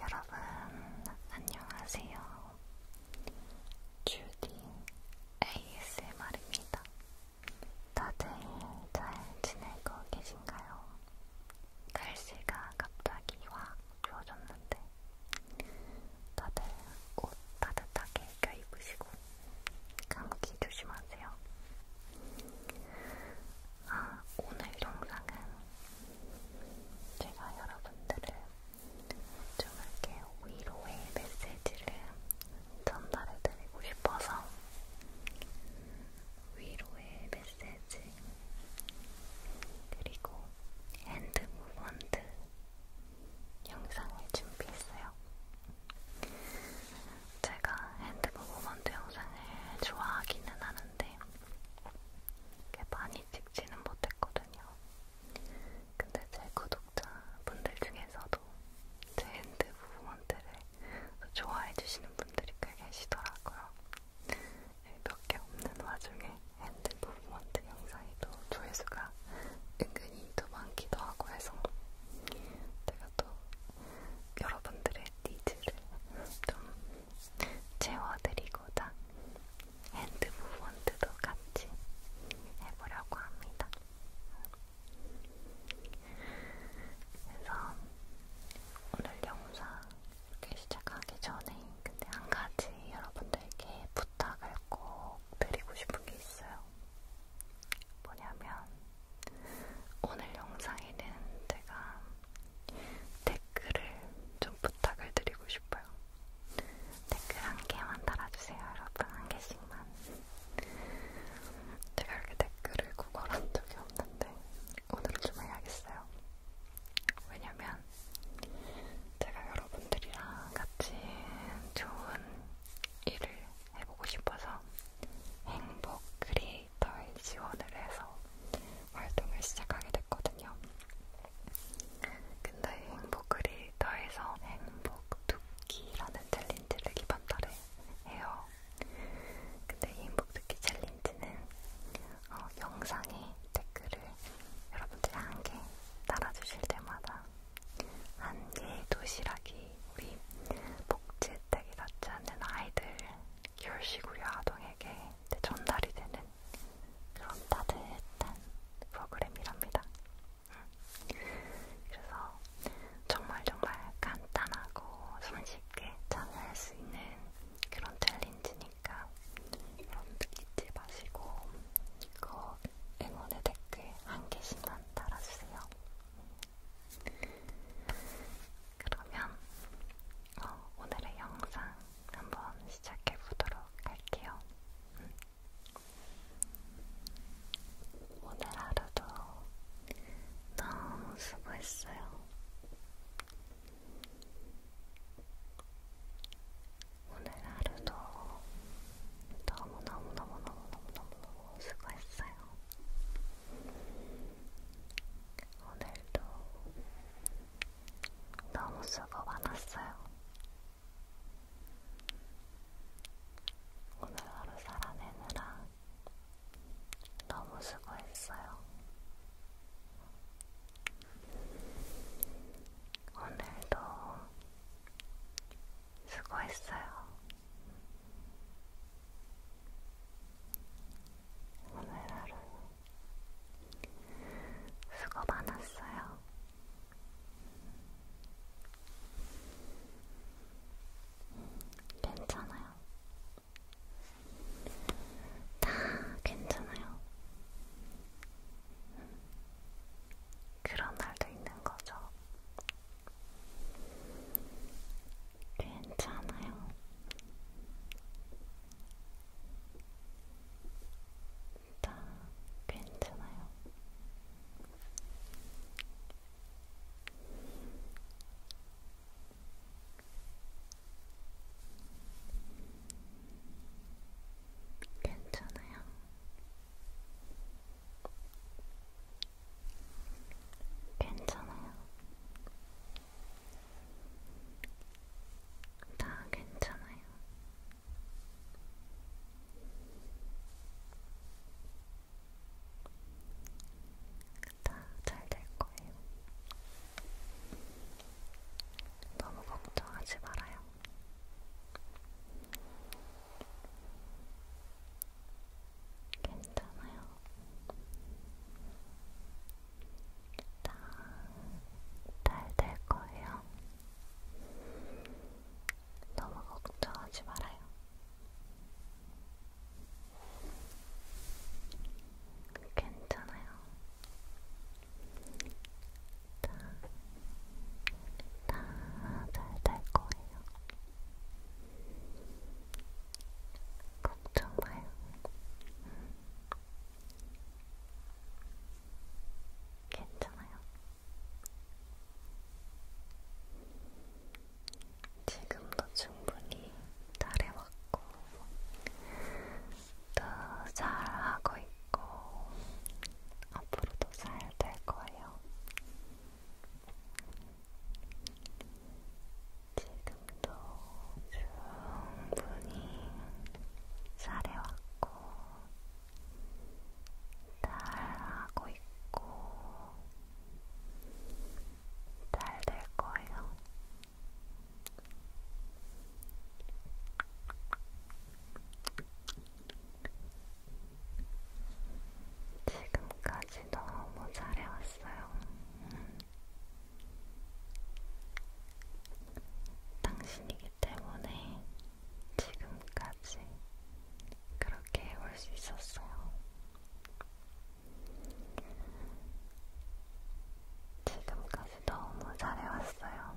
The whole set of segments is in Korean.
여러분, 안녕하세요. 주디 ASMR입니다. 다들 잘 지내고 계신가요? 날씨가 갑자기 확 추워졌는데, 다들 옷 따뜻하게 껴입으시고, 감기 조심하세요. 아, 오늘 영상은 제가 여러분들을 좀 이렇게 위로의 메시지를 전달해드리고 싶어서 위로의 메시지 그리고 핸드 무브먼트 영상을 준비했어요. 제가 핸드 무브먼트 영상을 좋아하기는 하는데 꽤 많이 찍지는 못했거든요. 근데 제 구독자분들 중에서도 제 핸드 무브먼트를 좋아해주시는 분들이 꽤 계시더라고요. 네, 몇개 없는 와중에 핸드 무브먼트 영상이 또 조회수가 은근히 또 많기도 하고 해서 제가 또 여러분들의 니즈를 좀 채워드리고자 핸드 무브먼트도 같이 해보려고 합니다. 그래서 오늘 영상 이렇게 시작하기 전에 근데 한 가지 여러분들께 부탁을 꼭 드리고 싶은 게 있어요. 뭐냐면 오늘 영상에는 제가 댓글을 좀 부탁을 드리고 싶어요. 댓글 한 개만 달아주세요, 여러분. 한 개씩만. 제가 이렇게 댓글을 구걸한 적이 없는데, 오늘은 좀 해야겠어요. 왜냐면, 제가 여러분들이랑 같이 좋은 일을 해보고 싶어서 행복 크리에이터의 지원을 해서 활동을 시작하게 됐거든요. 근데 행복 크리에이터에서 행복 두끼라는 챌린지를 이번 달에 해요. 근데 이 행복 두끼 챌린지는 어, 영상에 댓글을 여러분들이 한 개 달아주실 때마다 한 개의 도시락이 우리 복지혜택이 닿지 않는 아이들 결식우려 아동에게 전달이 되는 그런 따뜻한 프로그램이랍니다. 그래서 정말 정말 간단하고 손쉽게 참여할 수 있는 그런 챌린지니까 여러분들 잊지 마시고 꼭 응원의 댓글 한 개씩만 달아주세요. 그러면 어, 오늘의 영상 한번 시작해 보도록 할게요. 음. 오늘 하루도 너무 수고했어요. 오늘 하루도 너무 너무 너무 너무 너무 너무 수고했어요. 오늘도 너무 수고 많았어요. 오늘 하루 살아내느라 너무 수고했어요. 오늘도 수고했어요. 오늘 하루 수고 많았어요. 괜찮아요. 다 괜찮아요. 그런 날도 있는 거죠. 괜찮아요. 다 괜찮아요. 괜찮아요. 괜찮아요. 다 괜찮아요. 다 잘 될 거예요. 너무 걱정하지 말아요. 괜찮아요. 다 잘 될 거예요. 너무 걱정하지 말아요. 괜찮아요. 다 잘 될 거예요. 걱정 마요. 괜찮아요. 지금도 충분히 잘해왔고, 또 잘하고 있고, 앞으로도 잘 될 거예요. 지금도 충분히 잘해왔고 잘하고 있고 잘 될 거예요. 지금까지 너무 잘해왔어요. 음. 당신이기 때문에 지금까지 그렇게 해올 수 있었어요. 지금까지 너무 잘해왔어요.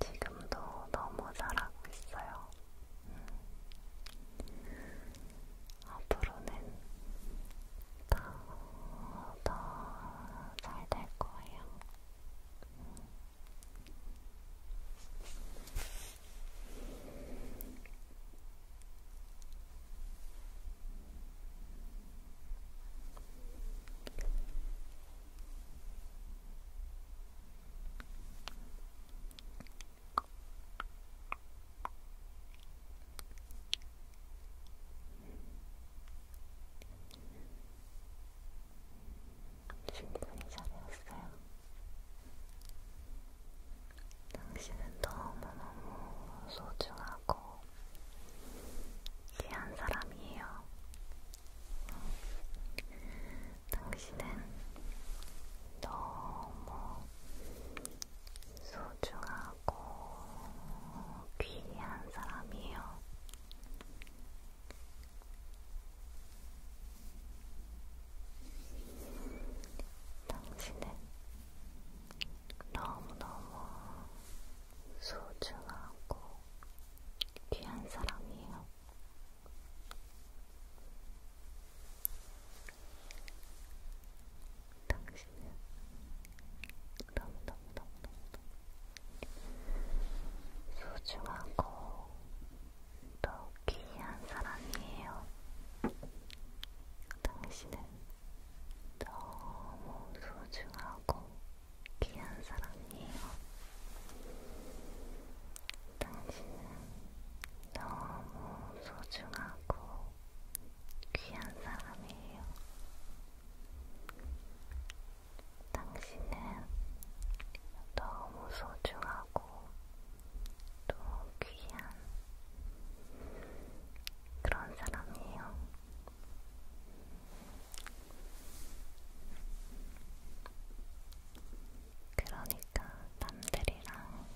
지금도 너무 잘하고 있어요. 앞으로는 더더잘 될 거예요. 충분히 잘해왔어요. 당신은 너무너무 소중하고 귀한 사람이에요. 당신은 너무 소중하고 귀한 사람이에요. 당신은 너무너무 소중하고 귀한 사람이에요. 당신은 너무너무너무너무 소중하고 더 귀한 사람이에요. 당신은 너무 소중하고 귀한 사람이에요. 당신은 너무 소중하고 귀한 사람이에요. 당신은 너무 소중하고 또 귀한 그런 사람이에요. 그러니까 남들이랑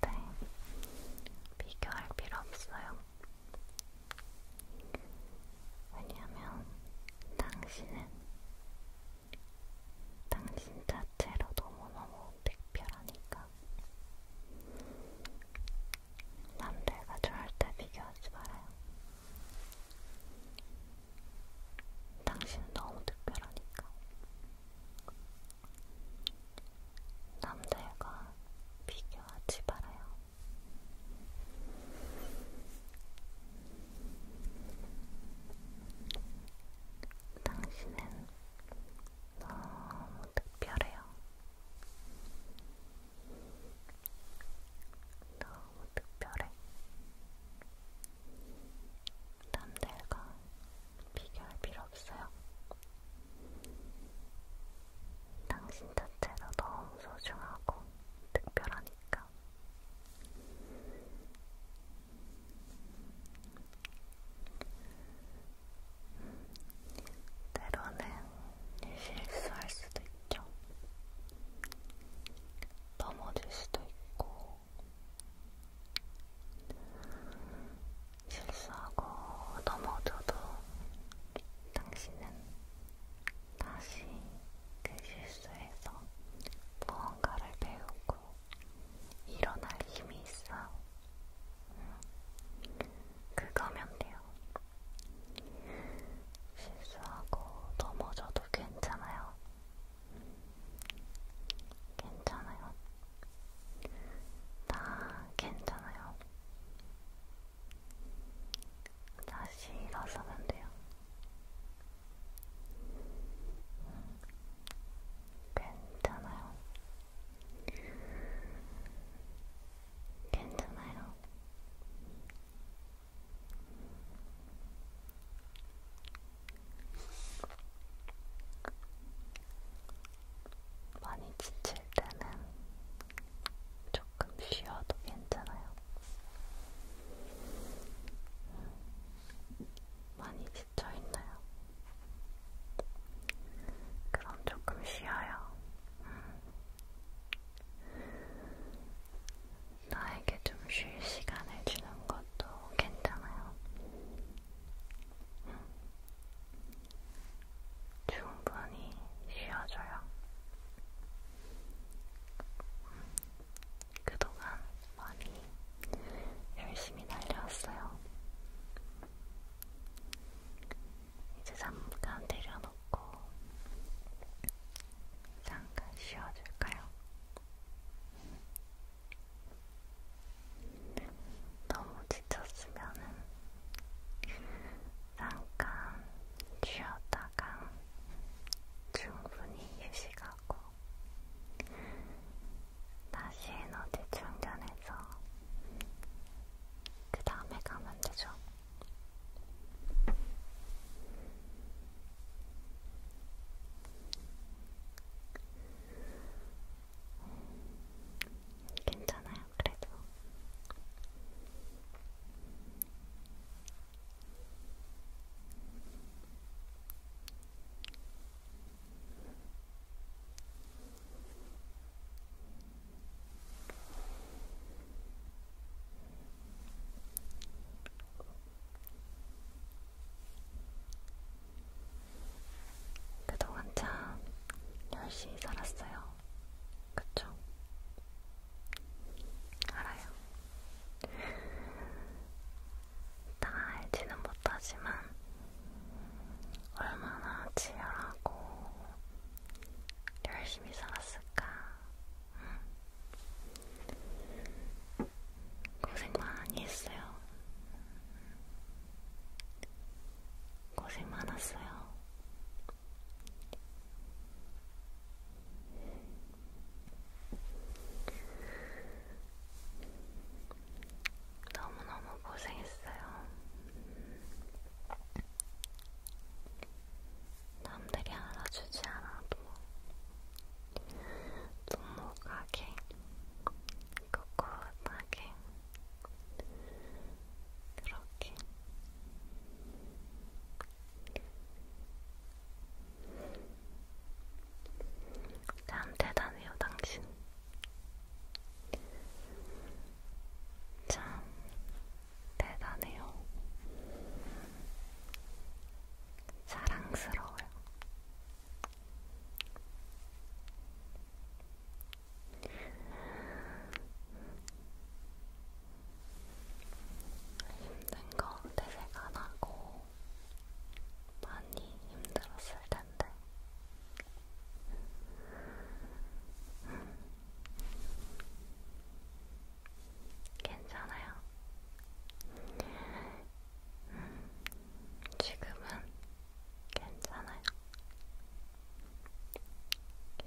절대 비교할 필요 없어요. 왜냐면 당신은 당신 자체로 너무너무 특별하니까 남들과 절대 비교하지 말아요. 당신은 너무 특별하니까. 남들과 비교하지 말아요. 당신은 너무 특별해요. 너무 특별해. 남들과 비교할 필요 없어요. 당신 자체도 너무 소중하고 특별하니까. 때로는 실수할 수도 있죠. 넘어질 수도 있고, 실수하고 넘어져도 당신은 다시 그 실수에서 무언가를 배우고 일어날 힘이 있어요. 음, 그거면 돼요. 거예요. 실수하고 넘어져도 괜찮아요. 괜찮아요. 다 괜찮아요. 다시 일어서면 돼요. 괜찮아요. 괜찮아요. 많이 지칠 때는 조금 쉬어도 괜찮아요. 많이 지쳐있나요? 그럼 조금 쉬어요. 음. 나에게 좀 쉴 시간을 주는 것도 괜찮아요. 응. 충분히 쉬어줘요. 응. 그동안 많이 열심히 달려왔어요. 이제 잠깐 내려놓고 잠깐 쉬어줄까요? 너무 지쳤으면은 잠깐 쉬었다가 충분히 휴식하고 다시 에너지 충전해서 그 다음에 가면 되죠. 괜찮아요, 그래도. 음. 그동안 참 열심히 살았어요. 그쵸? 알아요. 다 알지는 못하지만, 얼마나 치열하고 열심히 살았을까? 응. 고생 많이 했어요. 고생 많았어요. 너무너무 고생했어요. 남들이 알아주지 않아도 뚱목하게 꿋꿋하게 그렇게 참 대단해요 당신 참 대단해요. 사랑스러워요. 힘든 거 대색 안 하고 많이 힘들었을 텐데 괜찮아요. 지금은 괜찮아요.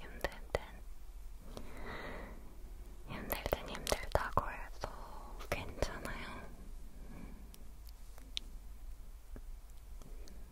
힘들 땐, 힘들 땐 힘들다고 해서 괜찮아요.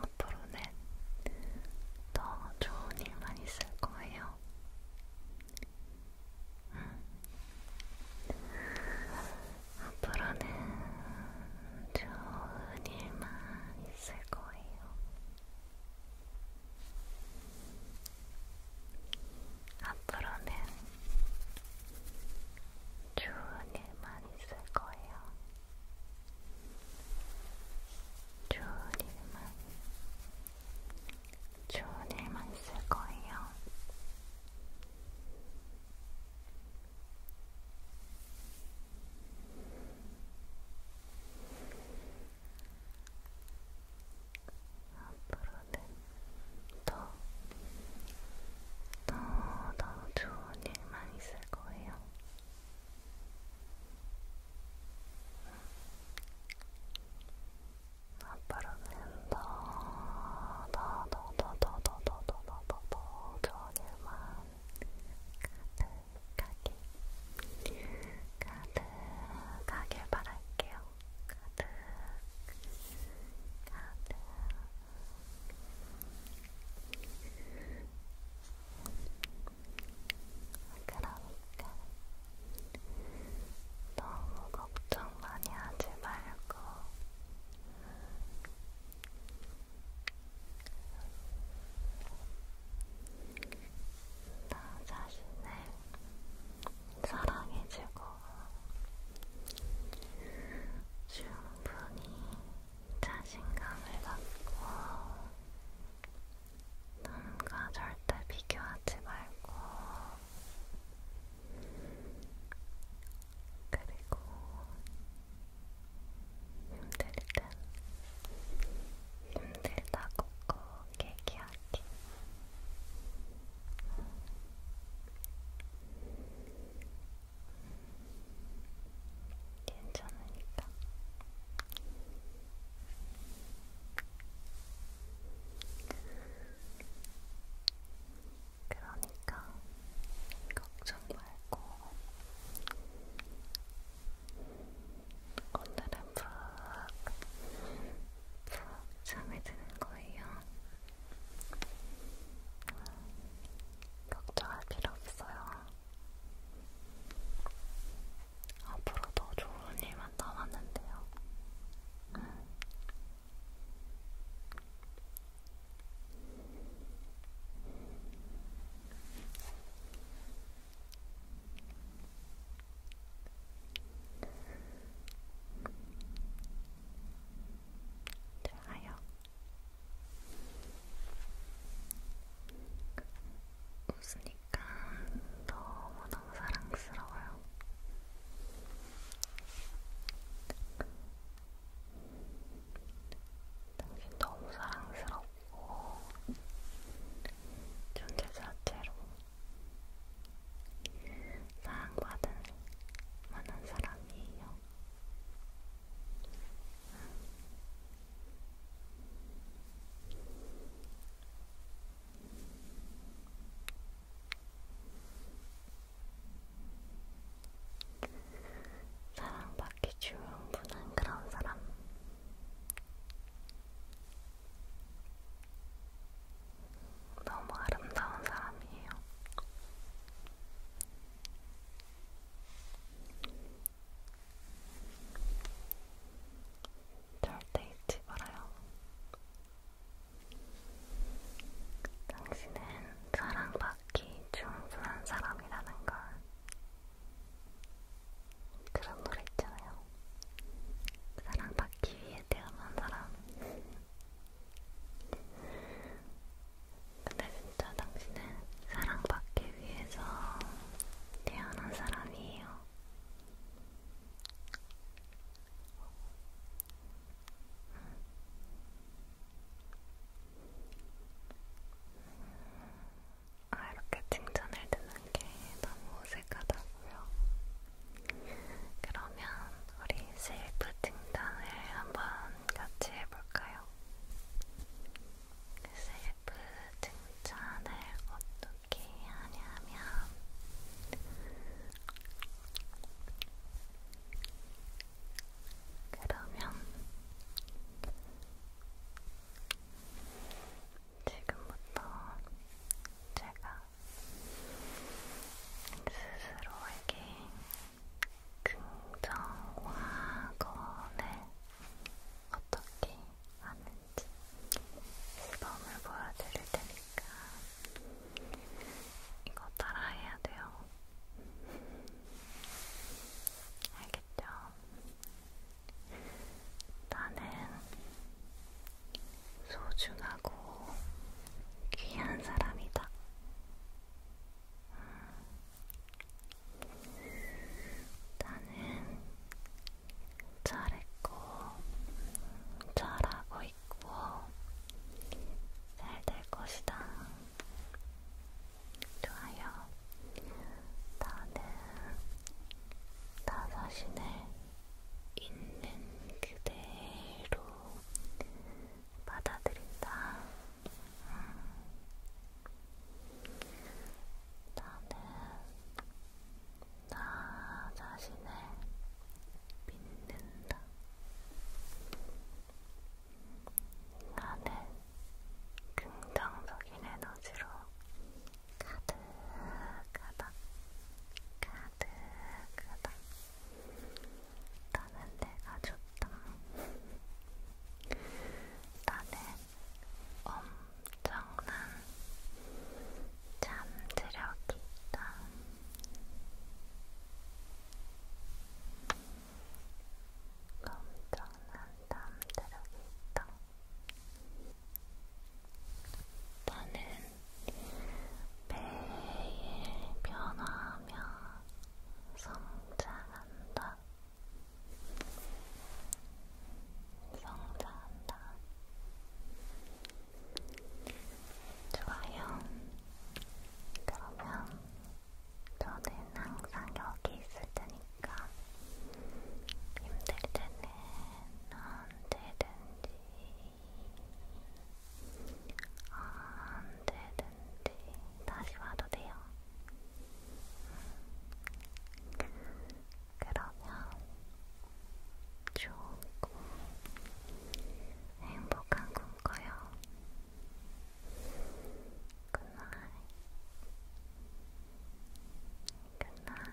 앞으로는 더 좋은 일만 있을 거예요. 음. 앞으로는 좋은 일만 있을 거예요. 앞으로는 좋은 일만 있을 거예요. 좋은 일만, 좋은 일만 있을 거예요. 앞으로는 더, 더, 더 좋은 일만 있을 거예요. 앞으로는 더, 더, 더, 더, 더, 더, 더, 더, 더, 더, 더 좋은 일만 가득 가득하게 가득하게 바랄게요. 가득 가득 그러니까 너무 걱정 많이 하지 말고 나 자신을 사랑해주고 충분히 자신감을 갖고 남과 절대 비교하지 말고 그리고 힘들 땐 힘들다고 꼭 얘기하기 괜찮으니까 그러니까 걱정이 하지 말고 오늘은 푹 푹 잠에 드는 거예요. 걱정할 필요 없어요. 앞으로 더 좋은 일만 남았는데요. 음. 좋아요. 웃으니까 너무너무 사랑스러워요. 되게 너무 사랑스럽고 존재 자체로 사랑받은 많은 사람이에요. 사랑받기 충분한 그런 사람. 너무 아름다운 사람이에요. 절대 잊지 말아요. 당신은 사랑받기 충분한 사람이라는 걸 그런 노래 있잖아요. 사랑받기 위해 태어난 사람. 근데 진짜 당신은 사랑받기 위해서 태어난 사람이에요. 아, 이렇게 칭찬을 듣는 게 너무 어색하다고요. 그러면 우리 셀프 칭찬을 한번 같이 해볼까요? 그 셀프 칭찬을 어떻게 하냐면 그러면 지금부터 제가 스스로에게 긍정화건을 어떻게 하는지 시범을 보여드릴 테니까 이거 따라해야 돼요. 알겠죠? 나는 소중하고 귀한 사람이다. 나는 잘했고, 잘하고 있고, 잘 될 것이다. 좋아요. 나는 나 자신을 있는 그대로 받아들인다. 음. 나는 나 자신을 믿는다. 나는 긍정적인 에너지로 가득하다, 가득하다. 나는 내가 좋다. 나는 엄청난 잠재력이 있다. 엄청난 담대력이 있다. 나는 매일 변화하며 성장한다. 성장한다. 좋아요. 그러면 저는 항상 여기 있을 테니까 힘들 때는 언제든지 언제든지 다시 와도 돼요. 그러면 좋고 행복한 꿈 꿔요. 굿나잇. 굿나잇.